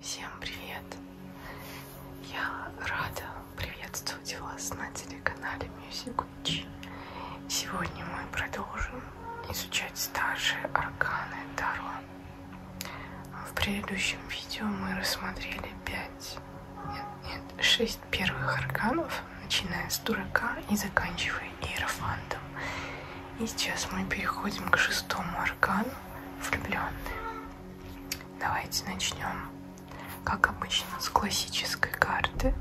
Всем привет! Я рада приветствовать вас на телеканале Music Witch. Сегодня мы продолжим изучать старшие арканы Таро. В предыдущем видео мы рассмотрели 5, нет, нет, 6 первых арканов, начиная с дурака и заканчивая иерофантом. И сейчас мы переходим к шестому аркану, влюбленные. Давайте начнем, как обычно, с классической карты.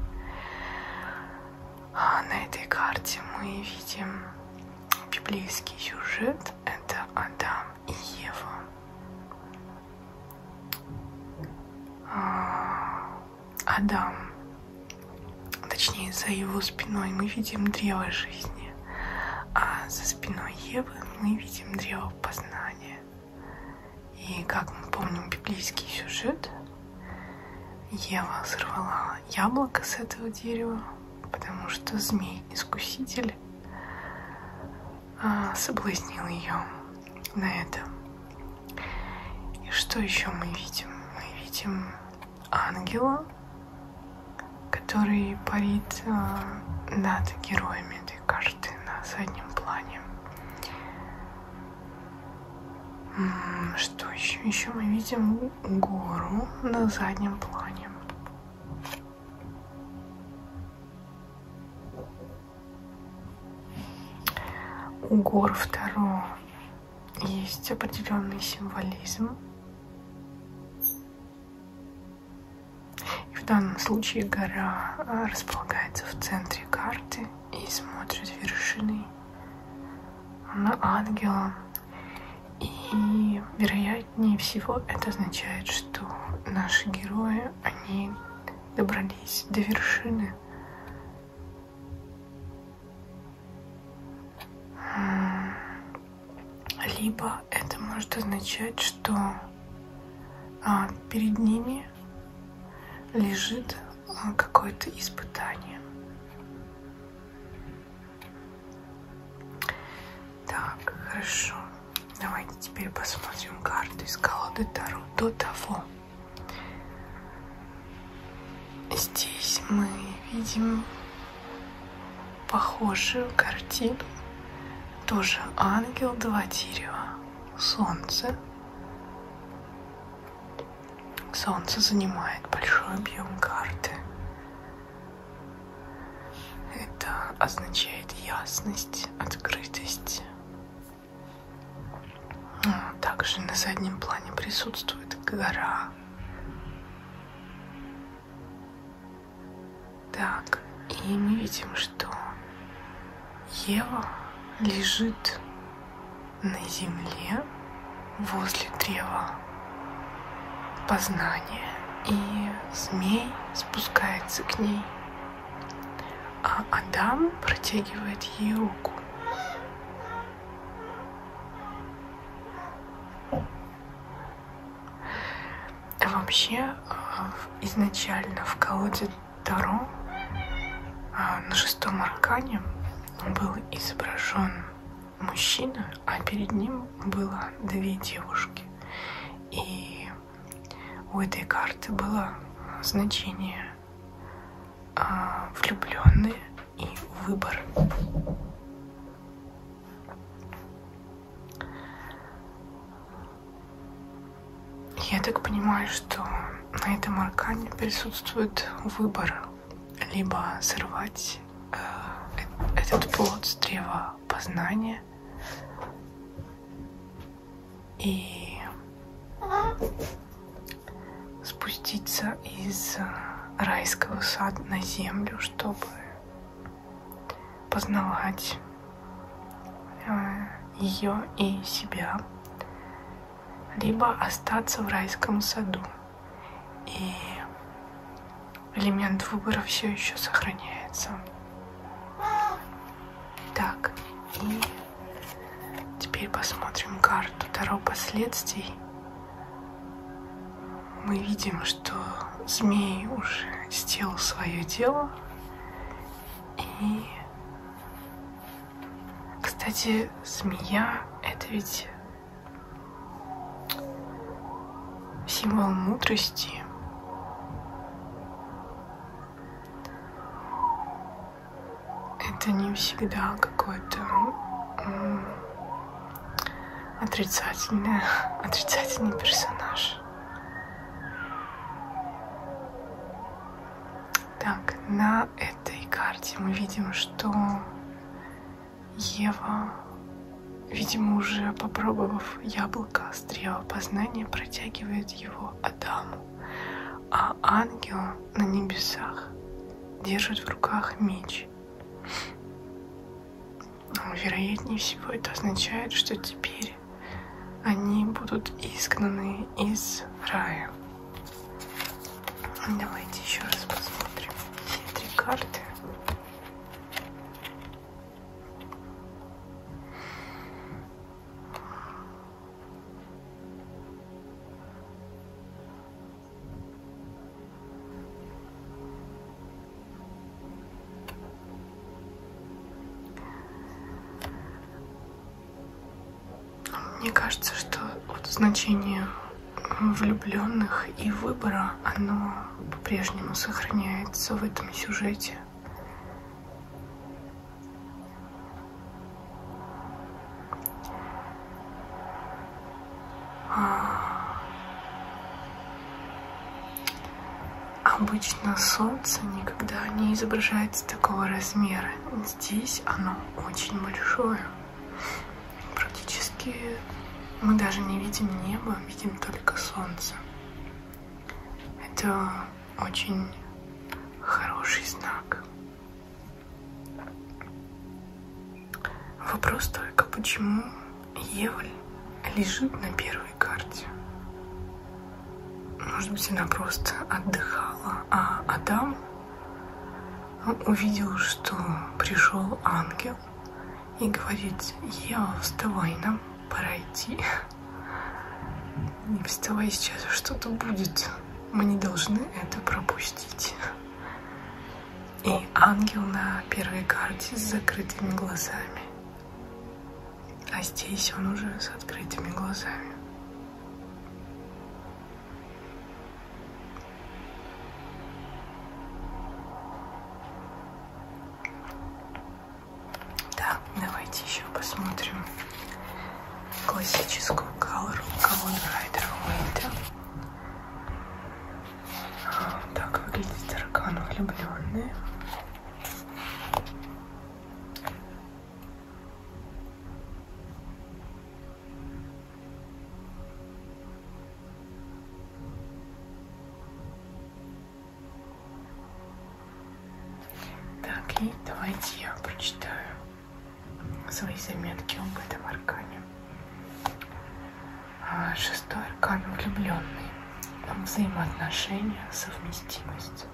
А на этой карте мы видим библейский сюжет. Это Адам и Ева. А, Адам, точнее за его спиной мы видим древо жизни, а за спиной Евы мы видим древо познания. И как мы помним библейский сюжет, Ева сорвала яблоко с этого дерева, потому что змей-искуситель а, соблазнил ее на это. И что еще мы видим? Мы видим ангела, который парит э, над героями этой карты на заднем плане. Что еще? Еще мы видим гору на заднем плане. У гор второго есть определенный символизм. И в данном случае гора а, располагается в центре карты и смотрит вершины на ангела. И, вероятнее всего, это означает, что наши герои, они добрались до вершины либо это может означать, что а, перед ними лежит а, какое-то испытание. Так, хорошо. Давайте теперь посмотрим карту из колоды Таро до того, Здесь мы видим похожую картину. Тоже ангел, два дерева, солнце. Солнце занимает большой объем карты. Это означает ясность, открытость, также на заднем плане присутствует гора. Так, и мы видим, что Ева лежит на земле возле древа познания, и змей спускается к ней а Адам протягивает ей руку. А вообще, а, изначально в колоде Таро а, на шестом аркане был изображен мужчина, а перед ним было две девушки. И у этой карты было значение а, влюбленные и выбор. Я так понимаю, что на этом аркане присутствует выбор либо сорвать э, э этот плод с древа познания, и спуститься из э, райского сада на землю, чтобы познавать э, ее и себя, либо остаться в райском саду. И элемент выбора все еще сохраняется. Так, и теперь посмотрим карту Таро последствий. Мы видим, что змей уже сделал свое дело. И, кстати, змея — это ведь символ мудрости это не всегда какое-то отрицательный, отрицательный персонаж. Так, на этой карте мы видим, что Ева, видимо, уже попробовав яблоко, острее познания протягивает его Адаму а ангел на небесах держит в руках меч. Ну, вероятнее всего это означает, что теперь они будут изгнаны из рая. Давайте еще раз посмотрим все три карты. Мне кажется, что вот значение влюбленных и выбора, оно по-прежнему сохраняется в этом сюжете. Обычно солнце никогда не изображается такого размера. Здесь оно очень большое. Практически мы даже не видим небо, видим только солнце. Это очень хороший знак. Вопрос только, почему Еваль лежит на первой карте? Может быть, она просто отдыхала, а Адам увидел, что пришел ангел и говорит, Ева, вставай, нам пора идти. Не вставай сейчас, что-то будет. Мы не должны это пропустить. И ангел на первой карте с закрытыми глазами. А здесь он уже с открытыми глазами. Да, давайте еще посмотрим классическую колору Колон Райдер Уэйта. А, так выглядит таракан влюбленный. Так, и давайте я прочитаю свои заметки об этом аркане. А, шестой аркан – влюбленный. Взаимоотношения, совместимость,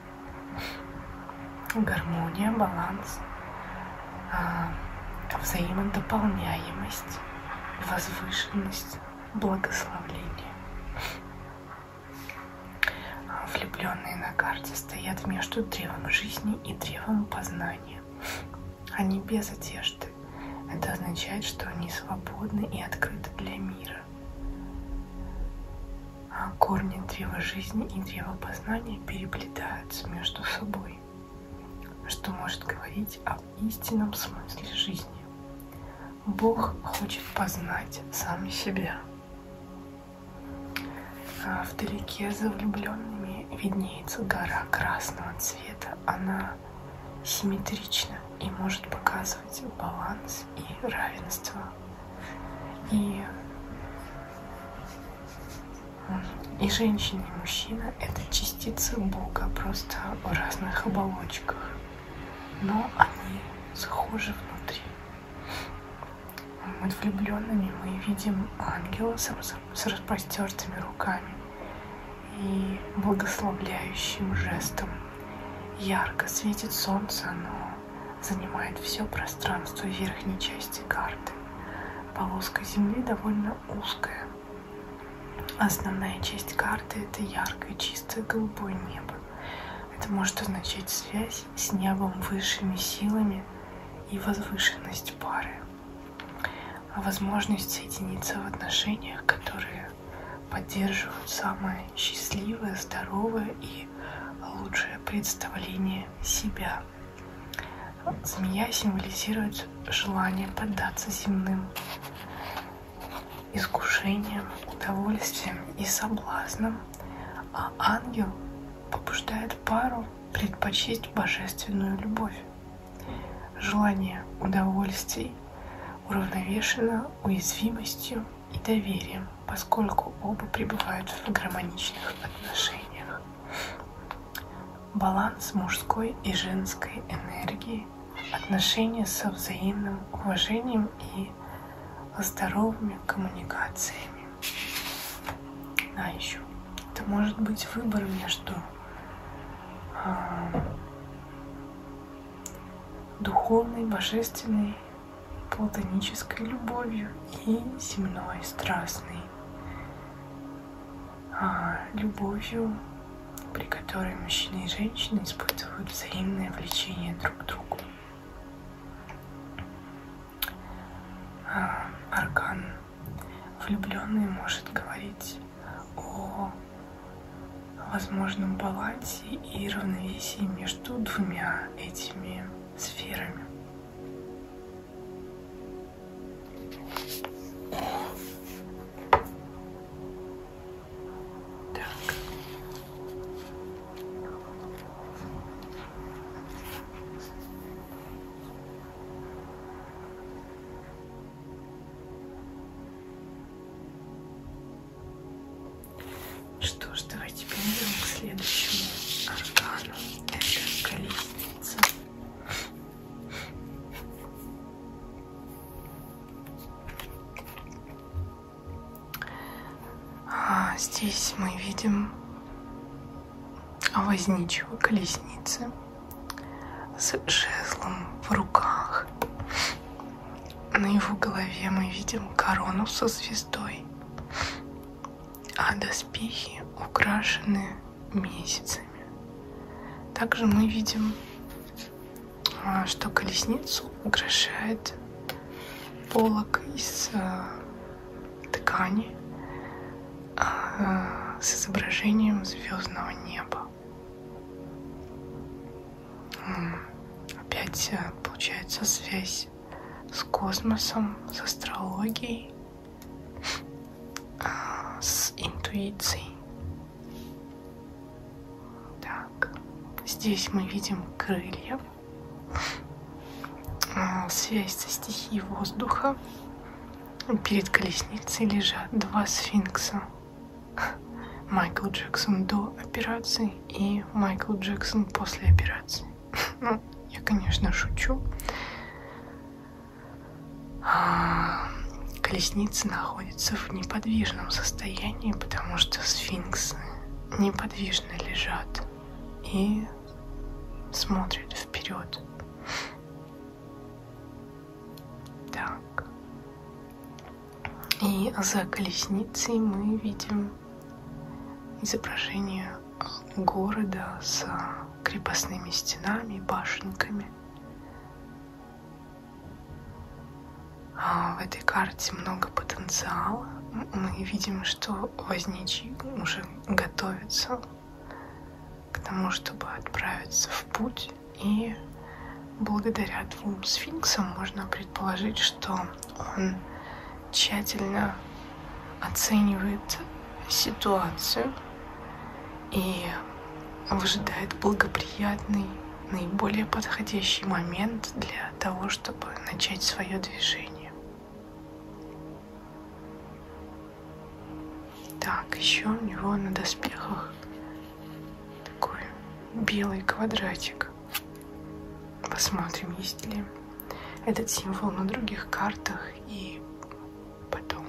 гармония, баланс, а, взаимодополняемость, возвышенность, благословление. Влюбленные на карте стоят между древом жизни и древом познания. Они без одежды. Это означает, что они свободны и открыты для мира. А корни древа жизни и древа познания переплетаются между собой, что может говорить об истинном смысле жизни. Бог хочет познать сам себя. А вдалеке за влюбленными виднеется гора красного цвета. Она симметрична и может показывать баланс и равенство. И, и женщина, и мужчина — это частицы Бога, просто в разных оболочках. Но они схожи внутри. Над влюбленными мы видим ангела с, с распростертыми руками и благословляющим жестом. Ярко светит солнце, оно занимает все пространство верхней части карты. Полоска земли довольно узкая. Основная часть карты – это яркое чистое голубое небо. Это может означать связь с небом высшими силами и возвышенность пары, а возможность соединиться в отношениях, которые поддерживают самое счастливое, здоровое и лучшее представление себя. Змея символизирует желание поддаться земным искушениям, удовольствиям и соблазнам а ангел побуждает пару предпочесть божественную любовь. Желание удовольствий уравновешено уязвимостью и доверием, поскольку оба пребывают в гармоничных отношениях. Баланс мужской и женской энергии, отношения со взаимным уважением и и здоровыми коммуникациями. А еще это может быть выбор между э, духовной, божественной, платонической любовью и земной, страстной э, любовью, при которой мужчины и женщины испытывают взаимное влечение друг к другу аркан. Влюбленный может говорить о возможном балансе и равновесии между двумя этими сферами. Так. Что ж, давайте перейдем к следующему органу. Это колесница. А, здесь мы видим возничего колесницы с жезлом в руках. На его голове мы видим корону со звездой, а доспехи украшены месяцами. Также мы видим, а, что колесницу украшает полок из э, ткани э, с изображением звездного неба. Опять э, получается связь с космосом, с астрологией, с интуицией. Так, здесь мы видим крылья. А, связь со стихией воздуха. Перед колесницей лежат два сфинкса. Майкл Джексон до операции и Майкл Джексон после операции. Ну, я, конечно, шучу. А, колесница находится в неподвижном состоянии, потому что сфинксы неподвижны неподвижно лежат и смотрят вперед. Так. И за колесницей мы видим изображение города с крепостными стенами, башенками. А, в этой карте много потенциала. Мы видим, что возничий уже готовится к тому, чтобы отправиться в путь. И благодаря двум сфинксам можно предположить, что он тщательно оценивает ситуацию и выжидает благоприятный, наиболее подходящий момент для для того, чтобы начать свое движение. Так, еще у него на доспехах такой белый квадратик. Посмотрим, есть ли этот символ на других картах и потом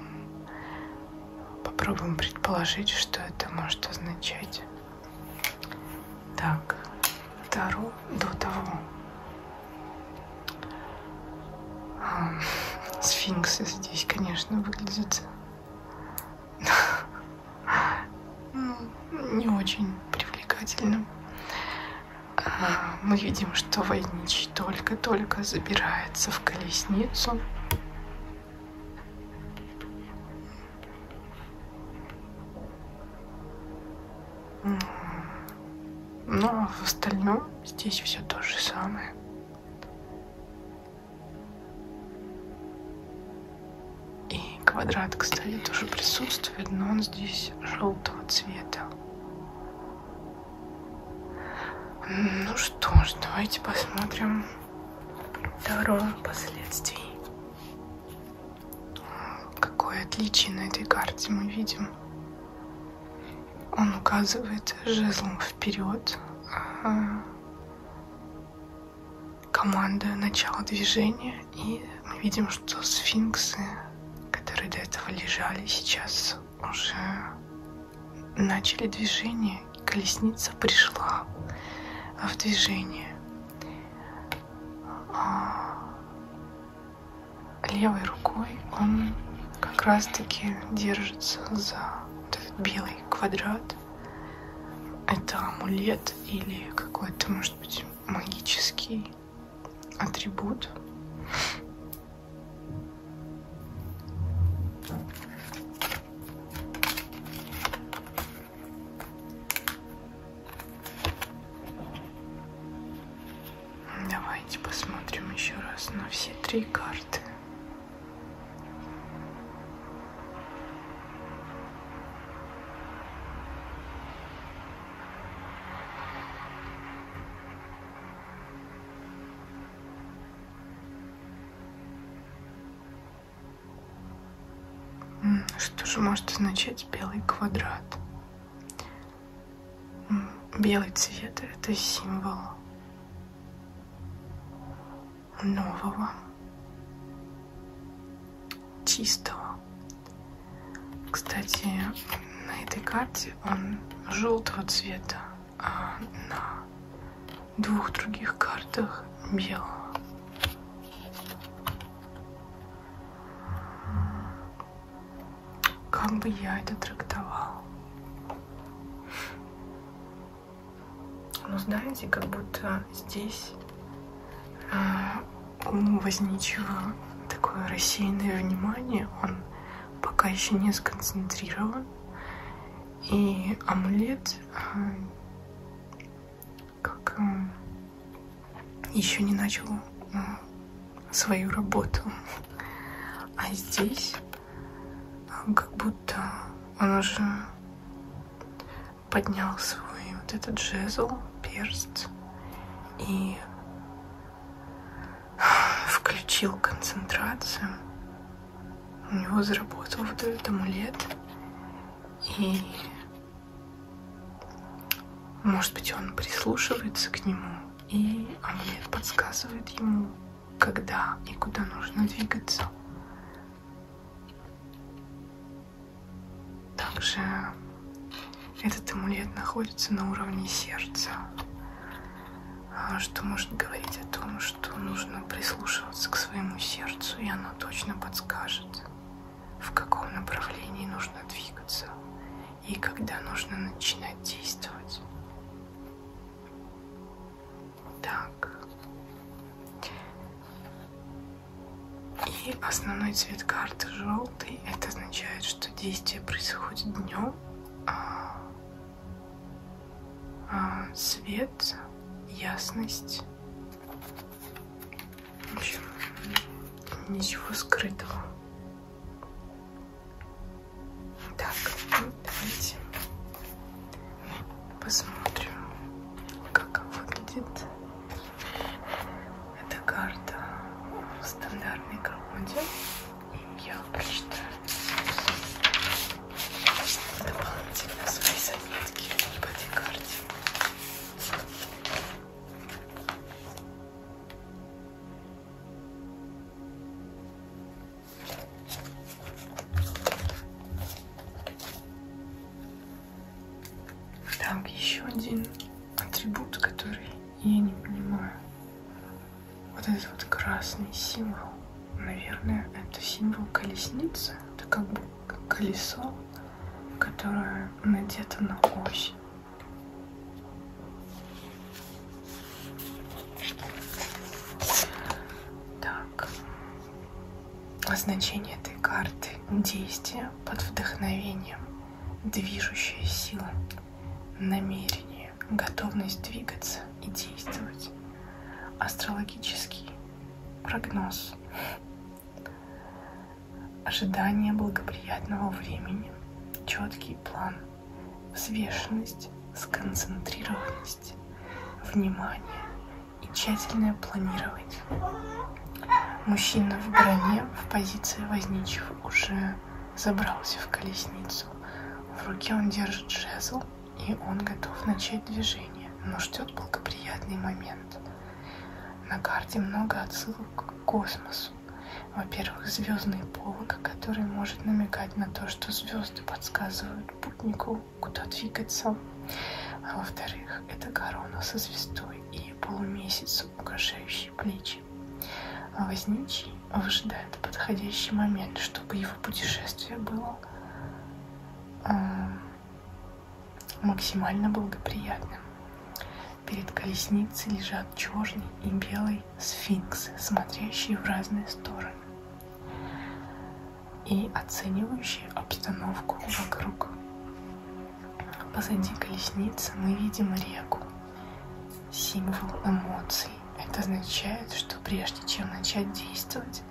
попробуем предположить, что это может означать. Так, Таро до того. А, сфинксы здесь, конечно, выглядят ну, не очень привлекательно. А, мы видим, что Войнич только-только забирается в колесницу. Но в остальном здесь все то же самое. И квадрат, кстати, тоже присутствует, но он здесь желтого цвета. Ну что ж, давайте посмотрим дорогу последствий. Какое отличие на этой карте мы видим? Он указывает жезлом вперед. А команда начала движения, и мы видим, что сфинксы, которые до этого лежали, сейчас уже начали движение, колесница пришла в движение. Э, левой рукой он как раз-таки держится за вот этот белый квадрат. Это амулет или какой-то, может быть, магический атрибут. Давайте посмотрим еще раз на все три карты. Что же может означать белый квадрат? Белый цвет — это символ нового, чистого. Кстати, на этой карте он желтого цвета, а на двух других картах белого. Как бы я это трактовала? Ну, знаете, как будто здесь э, у возничего такое рассеянное внимание, он пока еще не сконцентрирован. И амулет э, как э, еще не начал э, свою работу. А здесь э, как будто он уже поднял свой вот этот жезл, перст и включил концентрацию. У него заработал вот этот амулет. И может быть, он прислушивается к нему, и амулет подсказывает ему, когда и куда нужно двигаться. Также этот амулет находится на уровне сердца, а, что может говорить о том, что нужно прислушиваться к своему сердцу, и оно точно подскажет в каком направлении нужно двигаться и когда нужно начинать действовать. Так. И основной цвет карты желтый. Это означает, что действие происходит днем. А, а свет, ясность в общем, ничего скрытого. Так, ну, давайте посмотрим, как выглядит эта карта в стандартной колоде. Я прочитаю дополнительно свои заметки по этой карте. Так, еще один атрибут, который я не понимаю. Вот этот вот красный символ. Наверное, это символ колесницы. Это как бы как колесо, которое надето на ось. Так. Значение этой карты – действие под вдохновением, движущая сила, намерение, готовность двигаться и действовать, астрологический прогноз. Ожидание благоприятного времени, четкий план, взвешенность, сконцентрированность, внимание и тщательное планирование. Мужчина в броне в позиции возничего уже забрался в колесницу. В руке он держит жезл, и он готов начать движение, но ждет благоприятный момент – на карте много отсылок к космосу. Во-первых, звездные полока, который может намекать на то, что звезды подсказывают путнику, куда двигаться. А во-вторых, это корона со звездой и полумесяц, украшающий плечи. А возничий выжидает подходящий момент, чтобы его путешествие было э, максимально благоприятным. Перед колесницей лежат черный и белый сфинксы, смотрящие в разные стороны и оценивающие обстановку вокруг. Позади колесницы мы видим реку, символ эмоций. Это означает, что прежде чем начать действовать,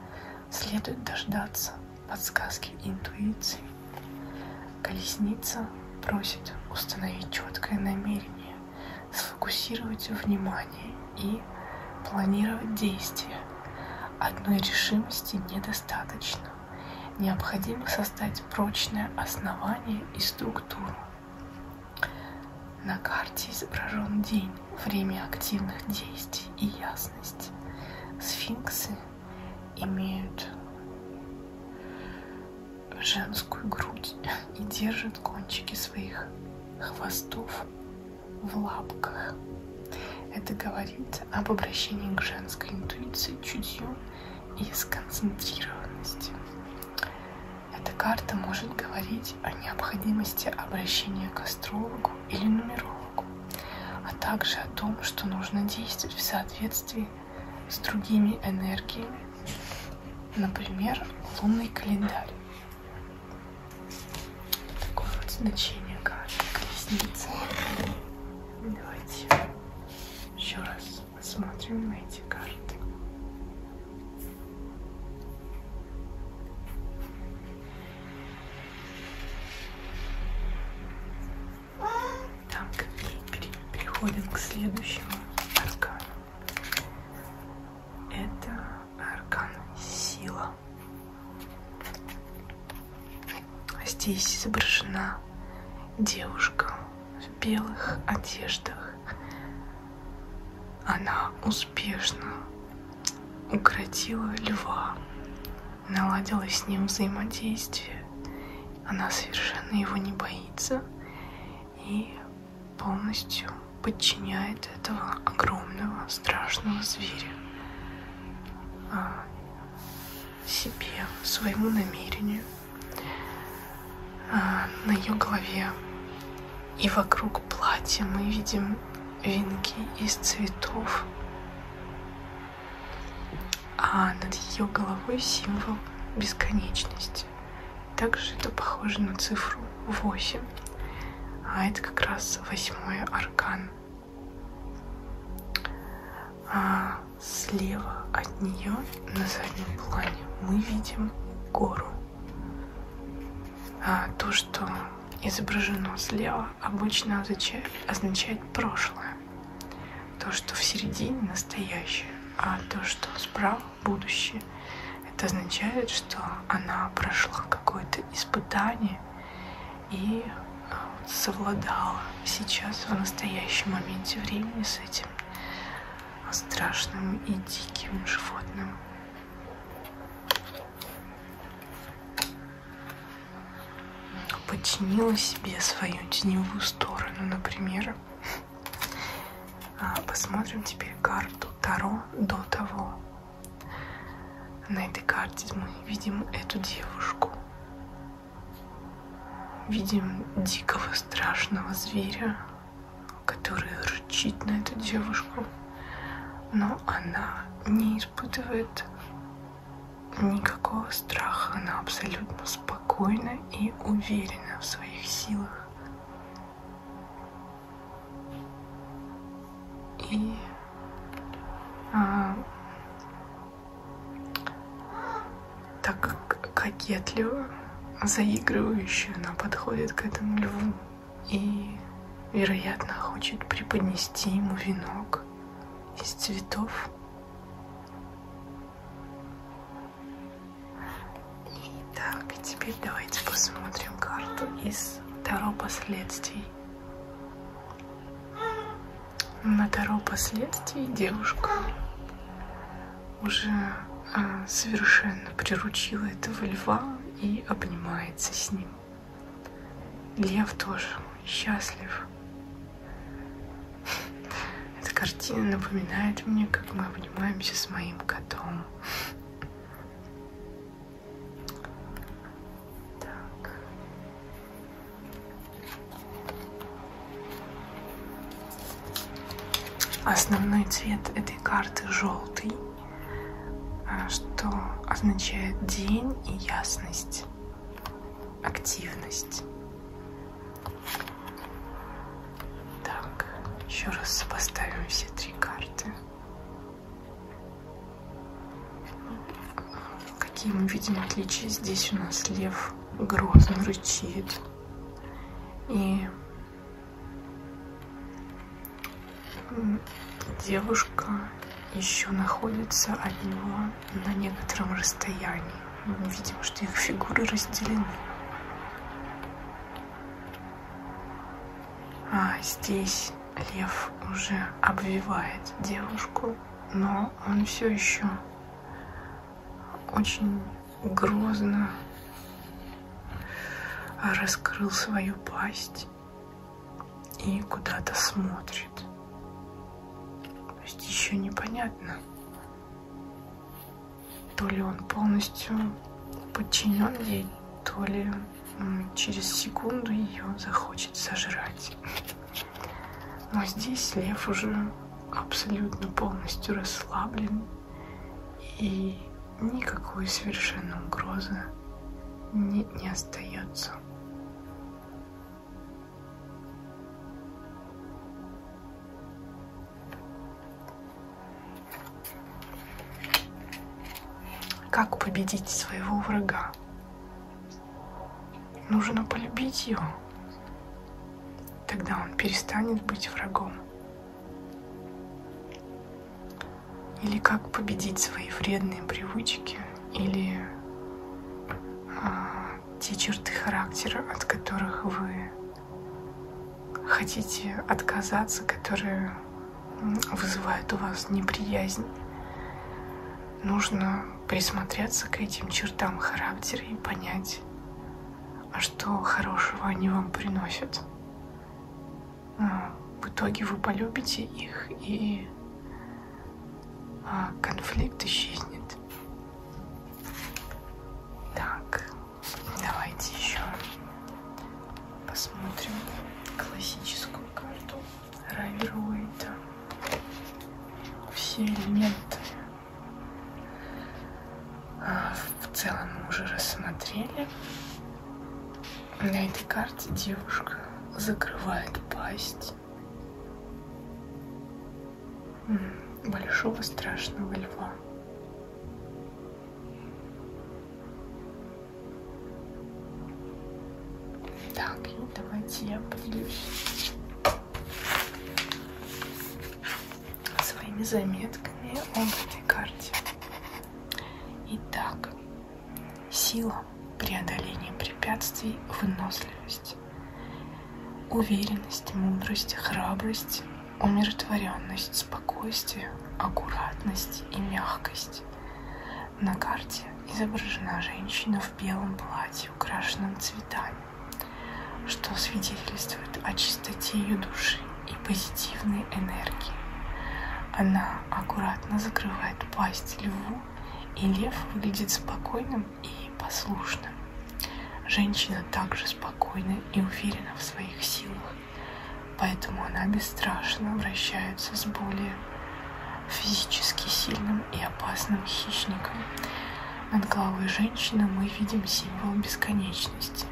следует дождаться подсказки интуиции. Колесница просит установить четкое намерение, сфокусировать внимание и планировать действия. Одной решимости недостаточно. Необходимо создать прочное основание и структуру. На карте изображен день, время активных действий и ясность. Сфинксы имеют женскую грудь и держат кончики своих хвостов в лапках. Это говорит об обращении к женской интуиции, чутью и сконцентрированности. Эта карта может говорить о необходимости обращения к астрологу или нумерологу науку, а также о том, что нужно действовать в соответствии с другими энергиями, например, лунный календарь. Такое вот значение карты колесницы. Давайте еще раз посмотрим на эти карты. Так, переходим к следующему аркану. Это аркан сила. Здесь изображена девушка в белых одеждах. Она успешно укротила льва наладилось с ним взаимодействие. Она совершенно его не боится и полностью подчиняет этого огромного страшного зверя а, себе, своему намерению. А, на ее голове и вокруг платья мы видим венки из цветов а над ее головой символ бесконечности. Также это похоже на цифру 8, а это как раз восьмой аркан. А слева от нее на заднем плане мы видим гору. А то, что изображено слева, обычно означает прошлое. То, что в середине настоящее, а то, что справа будущее, это означает, что она прошла какое-то испытание и э, совладала сейчас в настоящем моменте времени с этим страшным и диким животным. Починила себе свою теневую сторону, например. А, посмотрим теперь карту Таро до того. На этой карте мы видим эту девушку. Видим дикого страшного зверя, который рычит на эту девушку. Но она не испытывает никакого страха, она абсолютно спокойна и уверена в своих силах. И а, так кокетливо, заигрывающе она подходит к этому льву и, вероятно, хочет преподнести ему венок из цветов. Итак, теперь давайте посмотрим карту из Таро последствий. На Таро последствий девушка уже а, совершенно приручила этого льва и обнимается с ним. Лев тоже счастлив. Эта картина напоминает мне, как мы обнимаемся с моим котом. Так. Основной цвет этой карты желтый, а, что означает день и ясность активность. Так, еще раз сопоставим все три карты. Какие мы видим отличия? Здесь у нас лев грозно рычит. И девушка еще находятся от него на некотором расстоянии. Мы видим, что их фигуры разделены. А здесь лев уже обвивает девушку, но он все еще очень грозно раскрыл свою пасть и куда-то смотрит. То есть еще непонятно, то ли он полностью подчинен ей, то ли через секунду ее захочет сожрать. Но здесь лев уже абсолютно полностью расслаблен и никакой совершенно угрозы не, не остается. Как победить своего врага? Нужно полюбить его. Тогда он перестанет быть врагом. Или как победить свои вредные привычки – или а, те черты характера, от которых вы хотите отказаться, которые вызывают у вас неприязнь. Нужно присмотреться к этим чертам характера и понять, а что хорошего они вам приносят. А, в итоге вы полюбите их и а, конфликт исчезнет. Так, давайте еще посмотрим классическую карту Раверуэйта. Все элементы а, в целом мы уже рассмотрели. На этой карте девушка закрывает пасть боялась большого страшного льва. Так, и давайте я поделюсь своими заметками об этой карте. Итак, сила сила, преодоление препятствий, выносливость, уверенность, мудрость, храбрость, умиротворенность, спокойствие, аккуратность и мягкость. На карте изображена женщина в белом платье, украшенном цветами, что свидетельствует о чистоте ее души и позитивной энергии. Она аккуратно закрывает пасть льву и лев выглядит спокойным и послушным. Женщина также спокойна и уверена в своих силах, поэтому она бесстрашно вращается с более физически сильным и опасным хищником. Над головой женщины мы видим символ бесконечности,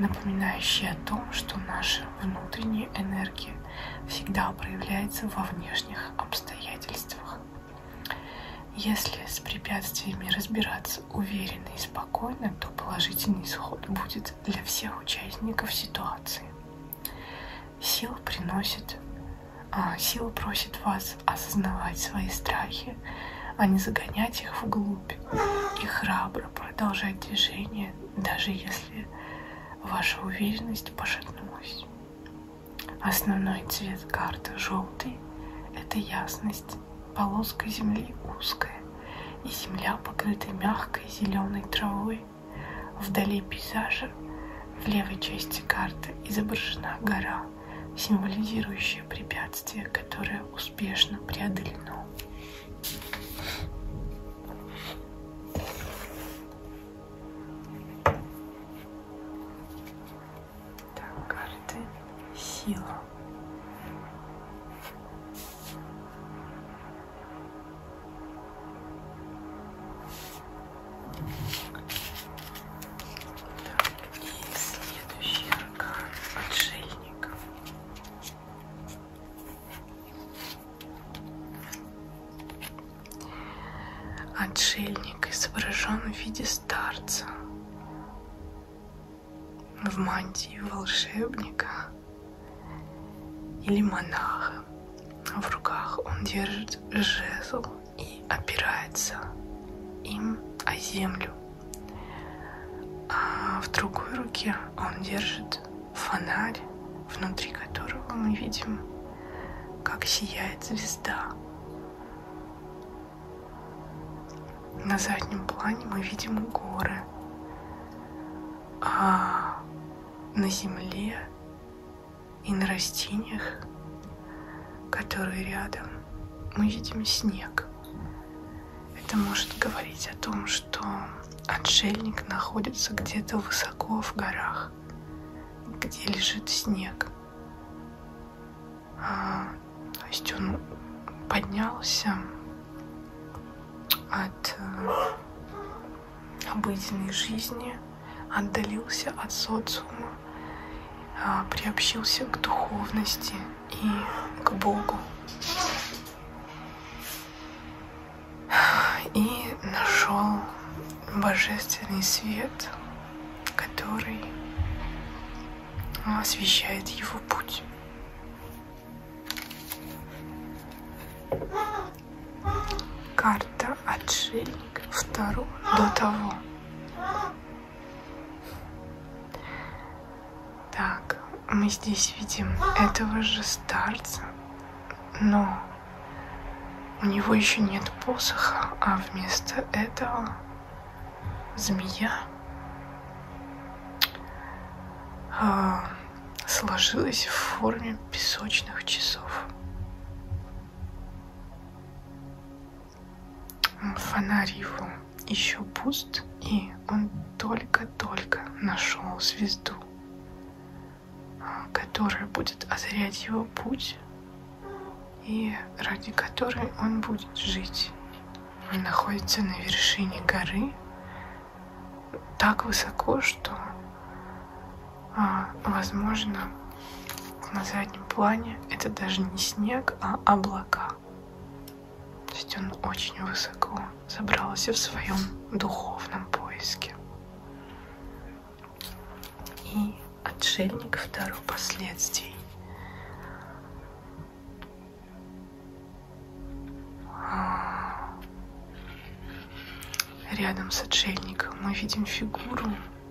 напоминающий о том, что наша внутренняя энергия всегда проявляется во внешних обстоятельствах. Если с препятствиями разбираться уверенно и спокойно, то положительный исход будет для всех участников ситуации. Сила приносит, а, сила просит вас осознавать свои страхи, а не загонять их вглубь и храбро продолжать движение, даже если ваша уверенность пошатнулась. Основной цвет карты желтый – это ясность, полоска земли узкая, и земля покрыта мягкой зеленой травой. Вдали пейзажа в левой части карты изображена гора, символизирующая препятствие, которое успешно преодолено. Так, карты. Сила. Так, и следующий аркан отшельников. Отшельник изображен в виде старца в мантии волшебника или монаха. В руках он держит жезл и опирается им о землю. А в другой руке он держит фонарь, внутри которого мы видим как сияет звезда. На заднем плане мы видим горы, а на земле и на растениях, которые рядом, мы видим снег. Это может говорить о том, что отшельник находится где-то высоко в горах – где лежит снег. А, то есть он поднялся от э, обыденной жизни, отдалился от социума, а, приобщился к духовности и к Богу и нашел божественный свет, который освещает его путь. Карта отшельник второго до того. Так, мы здесь видим этого же старца, но у него еще нет посоха, а вместо этого змея а, сложилась в форме песочных часов. Фонарь его еще пуст, и он только-только нашел звезду которая будет озарять его путь и ради которой он будет жить. Он находится на вершине горы так высоко, что а, возможно на заднем плане это даже не снег, а облака. То есть он очень высоко забрался в своем духовном поиске и отшельник второго последствий. Рядом с отшельником мы видим фигуру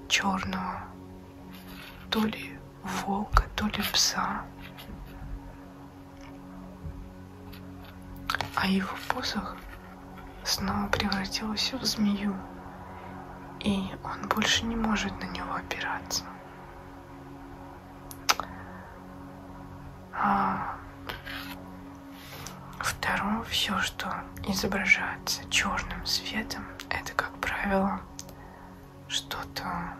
черного, то ли волка, то ли пса. А его посох снова превратилась в змею, и он больше не может на него опираться. А второе, все, что изображается черным светом, это, как правило, что-то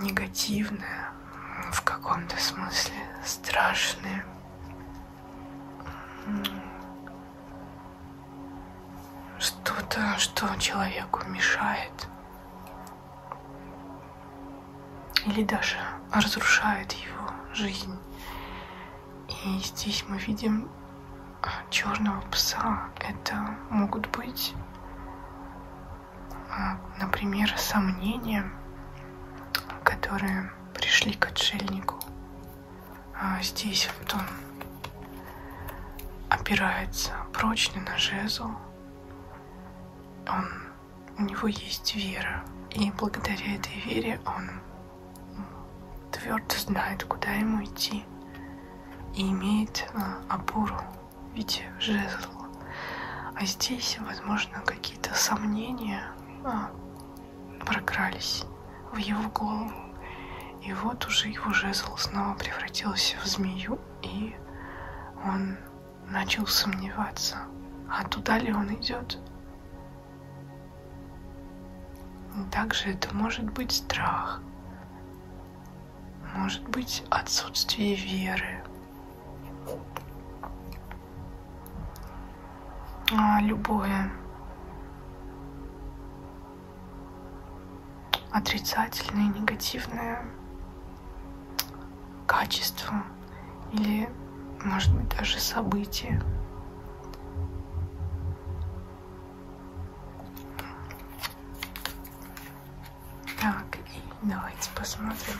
негативное, в каком-то смысле страшное, что-то, что человеку мешает или даже разрушает его жизнь. И здесь мы видим а, черного пса. Это могут быть, а, например, сомнения, которые пришли к отшельнику. А здесь вот он опирается прочно на жезл. Он, у него есть вера, и благодаря этой вере он твердо знает, куда ему идти, и имеет а, опору в виде жезла. А здесь, возможно, какие-то сомнения а, прокрались в его голову. И вот уже его жезл снова превратился в змею, и он начал сомневаться, а туда ли он идет. Также это может быть страх, может быть отсутствие веры, а, любое отрицательное, негативное качество или, может быть, даже событие. Так, и давайте посмотрим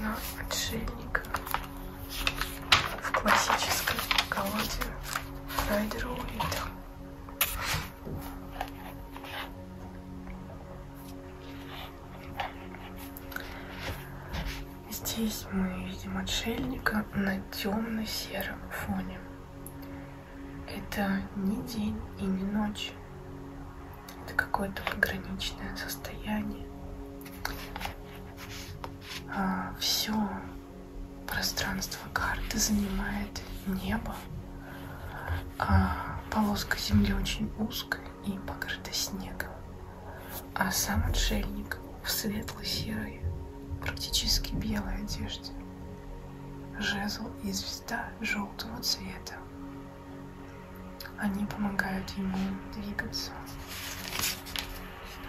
на ну, отшельника в классической колоде Райдера Уита. Здесь мы видим отшельника на темно-сером фоне. Это не день и не ночь. Это какое-то пограничное состояние. А, все пространство карты занимает небо. А полоска земли очень узкая и покрыта снегом. А сам отшельник в светло-серой, практически белой одежде. Жезл и звезда желтого цвета они помогают ему двигаться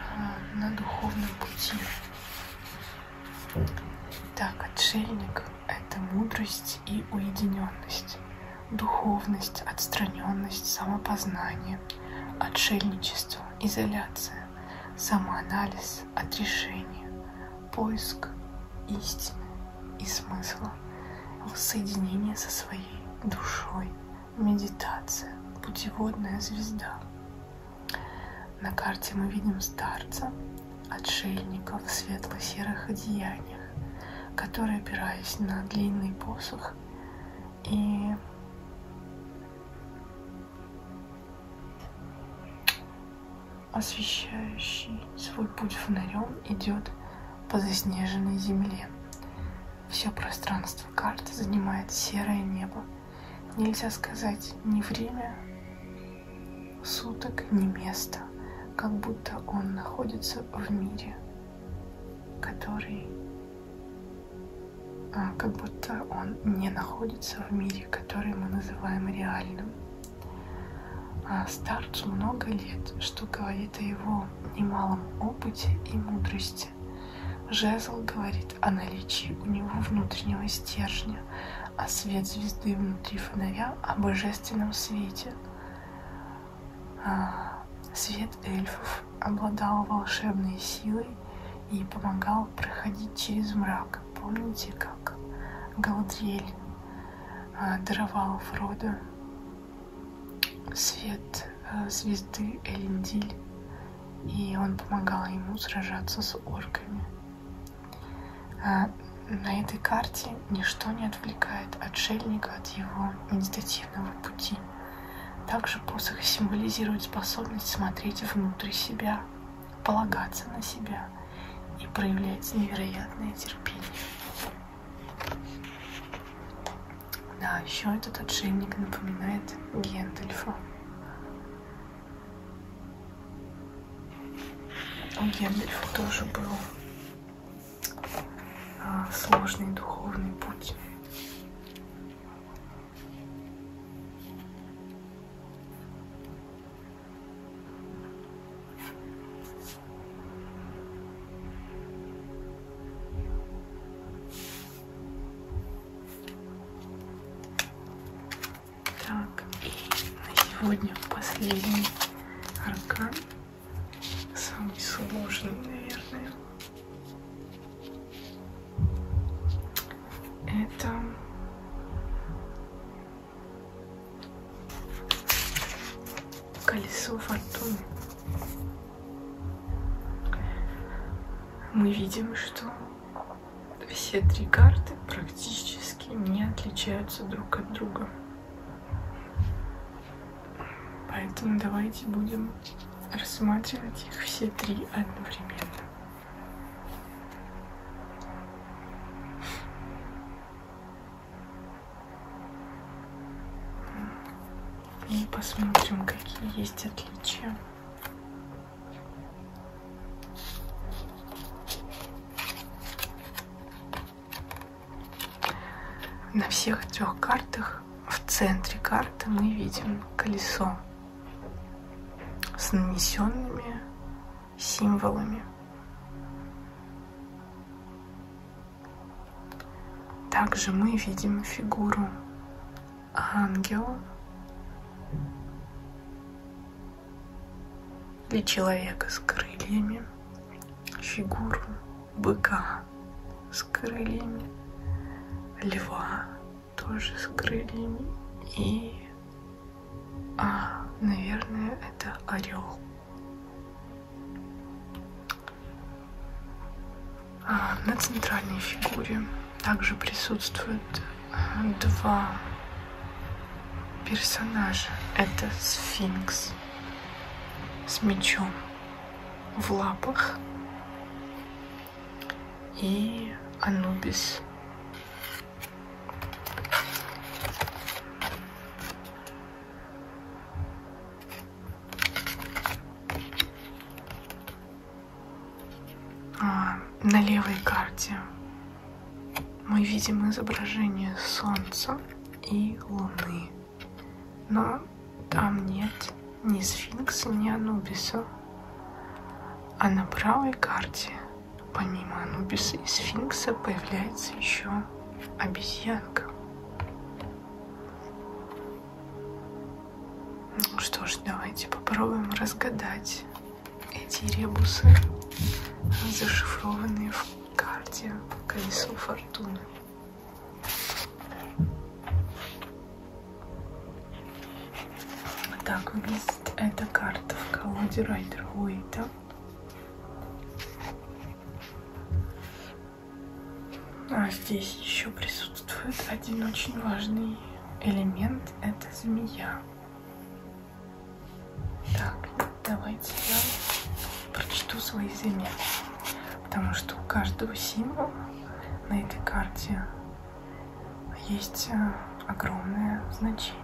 а, на духовном пути. Так, отшельник — это мудрость и уединенность, духовность, отстраненность, самопознание, отшельничество, изоляция, самоанализ, отрешение, поиск истины, и смысла, воссоединение со своей душой, медитация, путеводная звезда. На карте мы видим старца, отшельника в светло-серых одеяниях, который, опираясь на длинный посох и освещающий свой путь фонарем, идет по заснеженной земле. Все пространство карты занимает серое небо. Нельзя сказать ни время суток, ни место, как будто он находится в мире, который а, как будто он не находится в мире, который мы называем реальным. А Старцу много лет, что говорит о его немалом опыте и мудрости. Жезл говорит о наличии у него внутреннего стержня, а свет звезды внутри фонаря о божественном свете. А, свет эльфов обладал волшебной силой и помогал проходить через мрак. Помните, как Галадриэль а, даровал Фроду свет э, звезды Элендиль, и он помогал ему сражаться с орками. Э, на этой карте ничто не отвлекает отшельника от его медитативного пути. Также посох символизирует способность смотреть внутрь себя, полагаться на себя и проявлять невероятное терпение. Да, еще этот отшельник напоминает Гендальфа. У Гендальфа тоже был а, сложный духовный путь. Так, и на сегодня последний аркан. Самый сложный, наверное. Это колесо фортуны. Мы видим, что все три карты практически не отличаются друг от друга. Поэтому давайте будем рассматривать их все три одновременно. И ну, посмотрим, какие есть отличия. На всех трех картах в центре карты мы видим колесо с нанесенными символами. Также мы видим фигуру ангела или человека с крыльями, фигуру быка с крыльями, льва тоже с крыльями и, а, наверное, это орел. А, на центральной фигуре также присутствуют э, два персонажа. Это сфинкс с мечом в лапах и Анубис. А, на левой карте мы видим изображение Солнца и Луны, но там нет ни Сфинкса, ни Анубиса. А на правой карте, помимо Анубиса и Сфинкса, появляется еще обезьянка. Ну что ж, давайте попробуем разгадать эти ребусы, зашифрованные в карте «Колесо фортуны». Так выглядит эта карта в колоде Райдер Уэйта. А здесь еще присутствует один очень важный элемент, это змея. Так, давайте я прочту свои заметки, потому что у каждого символа на этой карте есть а, огромное значение.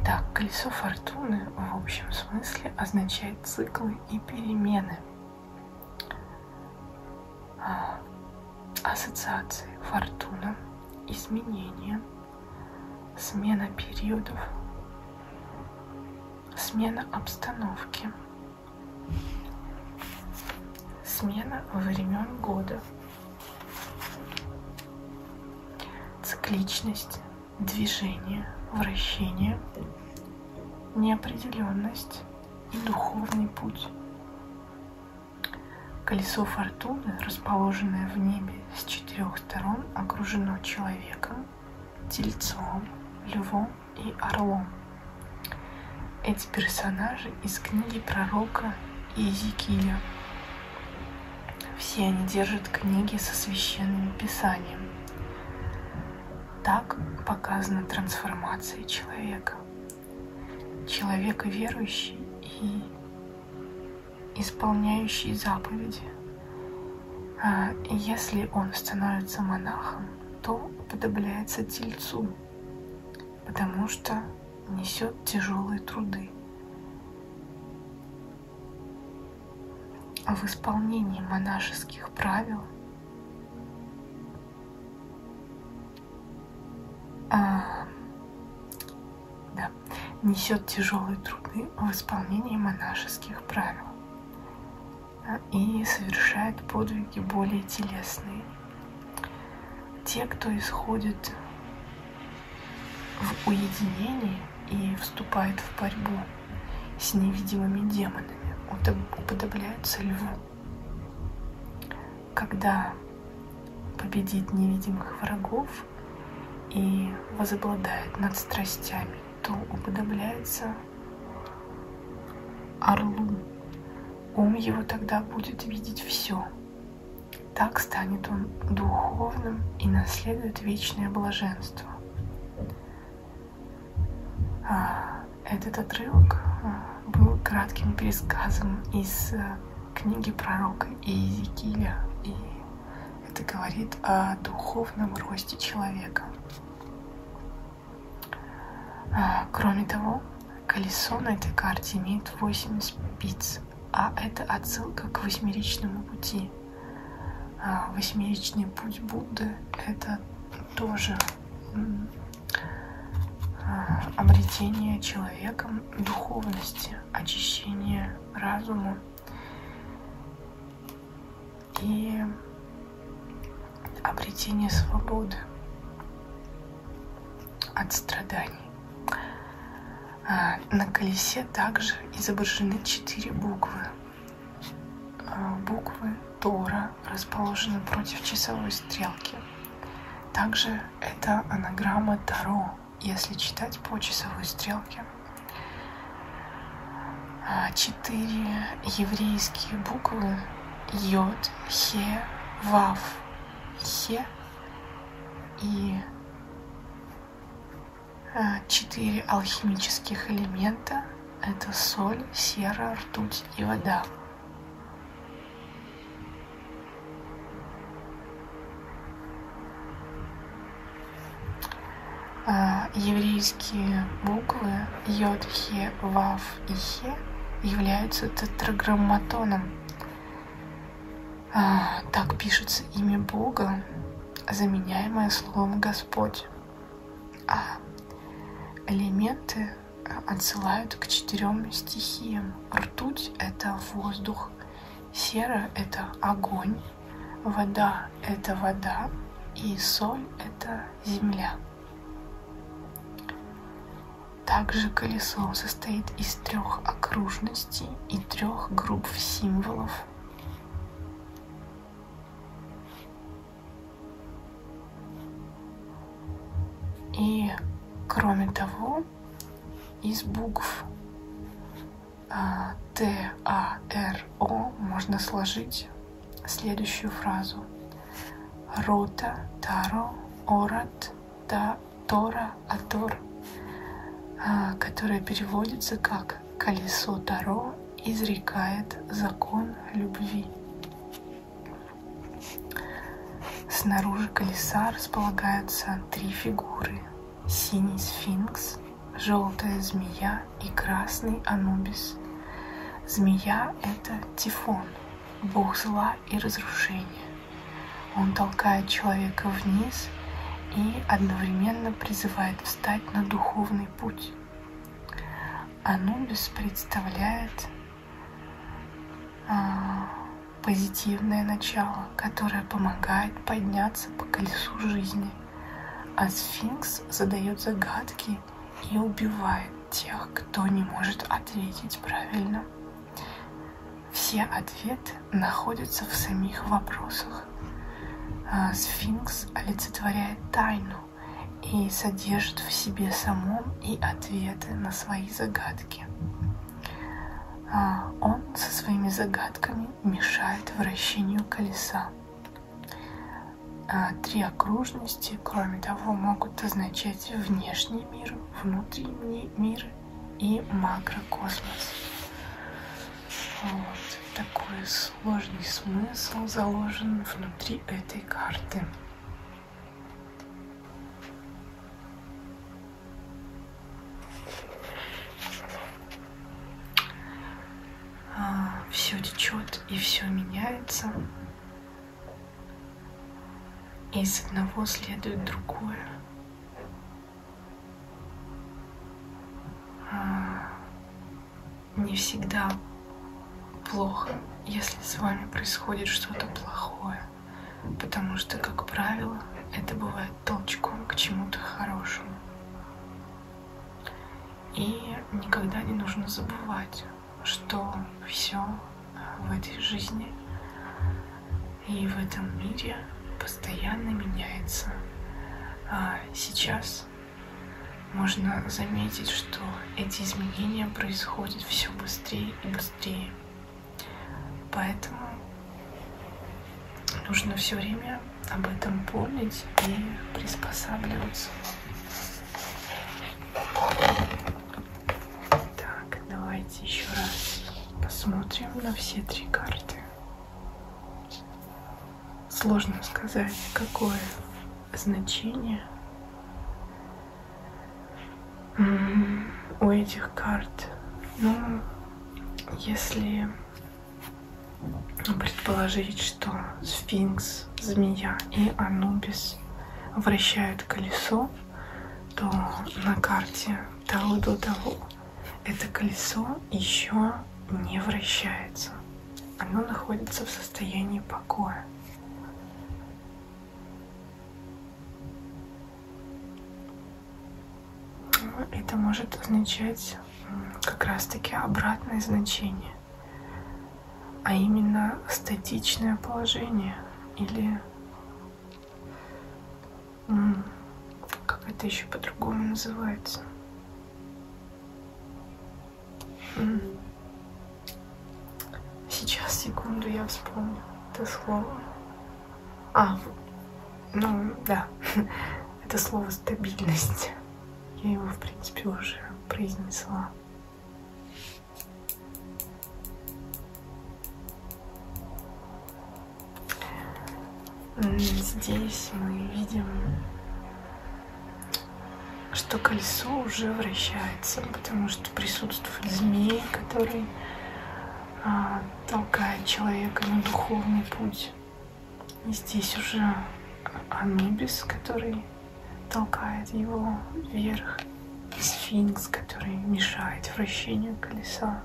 Итак, колесо фортуны в общем смысле означает циклы и перемены. А, ассоциации фортуна, изменения, смена периодов, смена обстановки, смена времен года, цикличность, движение, вращение, неопределенность и духовный путь. Колесо фортуны, расположенное в небе с четырех сторон, окружено человеком, тельцом, львом и орлом. Эти персонажи из книги пророка Иезекииля. Все они держат книги со священным писанием. Так показана трансформация человека. Человек верующий и исполняющий заповеди. А если он становится монахом, то подобляется тельцу, потому что несет тяжелые труды в исполнении монашеских правил а, да, несет тяжелые труды в исполнении монашеских правил а, и совершает подвиги более телесные. Те, кто исходит в уединении и вступает в борьбу с невидимыми демонами, уподобляются льву. Когда победит невидимых врагов и возобладает над страстями, то уподобляется орлу. Ум его тогда будет видеть все. Так станет он духовным и наследует вечное блаженство. Этот отрывок э, был кратким пересказом из э, книги пророка Иезекииля, и это говорит о духовном росте человека. Э, кроме того, колесо на этой карте имеет 8 спиц, а это отсылка к восьмеричному пути – а, восьмеричный путь Будды это тоже а, обретение человеком духовности, очищение разума и обретение свободы от страданий. А, на колесе также изображены четыре буквы. А, буквы Тора расположены против часовой стрелки. Также это анаграмма Таро, если читать по часовой стрелке. А, четыре еврейские буквы Йод, Хе, Вав, Хе и Э, четыре алхимических элемента – это соль, сера, ртуть и вода. Э, еврейские буквы Йод, Хе, Вав и Хе являются тетраграмматоном. Э, так пишется имя Бога, заменяемое словом Господь. А элементы э, отсылают к четырем стихиям. Ртуть — это воздух, сера — это огонь, вода — это вода, и соль — это земля. Также колесо состоит из трех окружностей и трех групп символов. И, кроме того, из букв а, Т, А, Р, О можно сложить следующую фразу. Рота, Таро, Орат, Та, Тора, Атор, а, которая переводится как колесо Таро изрекает закон любви. Снаружи колеса располагаются три фигуры. Синий сфинкс, желтая змея и красный анубис. Змея — это Тифон, бог зла и разрушения. Он толкает человека вниз и одновременно призывает помогает встать на духовный путь. Анубис представляет а, позитивное начало, которое помогает подняться по колесу жизни, а сфинкс задает загадки и убивает тех, кто не может ответить правильно. Все ответы находится в самих вопросах. А, сфинкс олицетворяет тайну и содержит в себе самом и ответы на свои загадки. А, он со своими загадками мешает вращению колеса. А, три окружности, кроме того, могут означать внешний мир, внутренний мир и макрокосмос. Вот. Такой сложный смысл заложен внутри этой карты. А, все течет и все меняется. И с одного следует другое не всегда плохо, если с вами происходит что-то плохое. Потому что, как правило, это бывает толчком к чему-то хорошему. И никогда не нужно забывать, что все в этой жизни и в этом мире по постоянно меняется. А сейчас можно заметить, что эти изменения происходят все быстрее и быстрее. Поэтому нужно все время об этом помнить и приспосабливаться. Так, давайте еще раз посмотрим на все три карты. Сложно сказать, какое значение у этих карт. Ну, если предположить, что сфинкс, змея и анубис вращают колесо, то на карте того до того это колесо еще не вращается. Оно находится в состоянии покоя. Ну, это может означать как раз-таки обратное значение, а именно статичное положение или как это еще по-другому называется? Сейчас, секунду, я вспомню это слово. А, ну да, это слово стабильность. Я его, в принципе, уже произнесла. Здесь мы видим, что колесо уже вращается, потому что присутствует змей, который а, толкает человека на духовный путь. И здесь уже Анубис, который толкает его вверх, сфинкс, который мешает вращению колеса.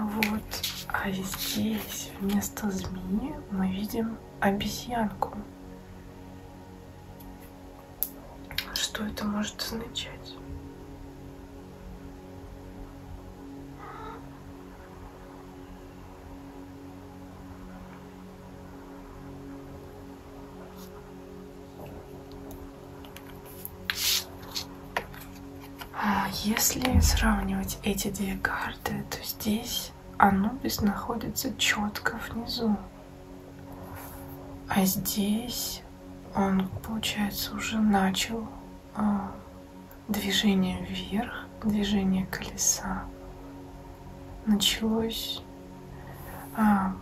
Вот, а здесь вместо змеи мы видим обезьянку. Что это может означать? А если сравнивать эти две карты, то здесь Анубис находится четко внизу. А здесь он, получается, уже начал а, движение вверх, движение колеса. Началось а,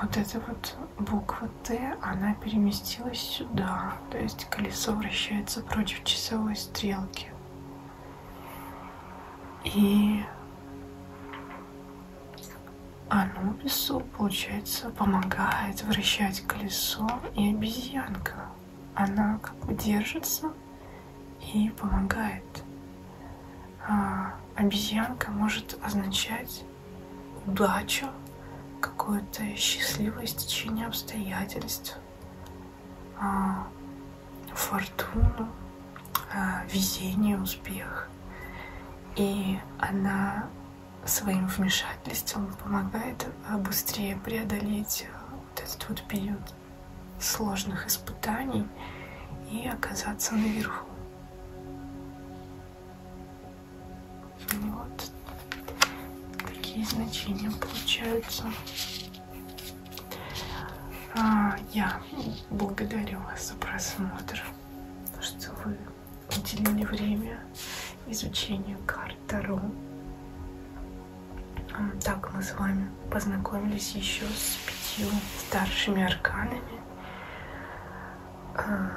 вот эта вот буква КТ она переместилась сюда, то есть колесо вращается против часовой стрелки. И Анубису, получается, помогает вращать колесо и обезьянка. Она как бы держится и помогает. А обезьянка может означать удачу, какое-то счастливое стечение обстоятельств, а, фортуну, а, везение, успех. И она своим вмешательством помогает а, быстрее преодолеть вот этот вот период сложных испытаний и оказаться наверху. Вот такие значения получаются. А, я благодарю вас за просмотр, что вы уделили время изучению карт Таро. А, так мы с вами познакомились еще с пятью старшими арканами. А,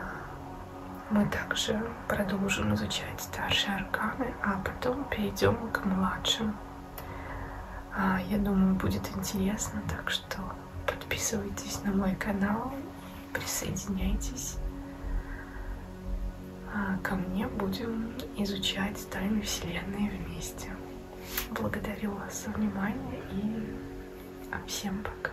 мы также продолжим изучать старшие арканы, а потом перейдем к младшим. А, я думаю, будет интересно, так что подписывайтесь на мой канал, присоединяйтесь а, ко мне, будем изучать тайны Вселенной вместе. Благодарю вас за внимание и всем пока.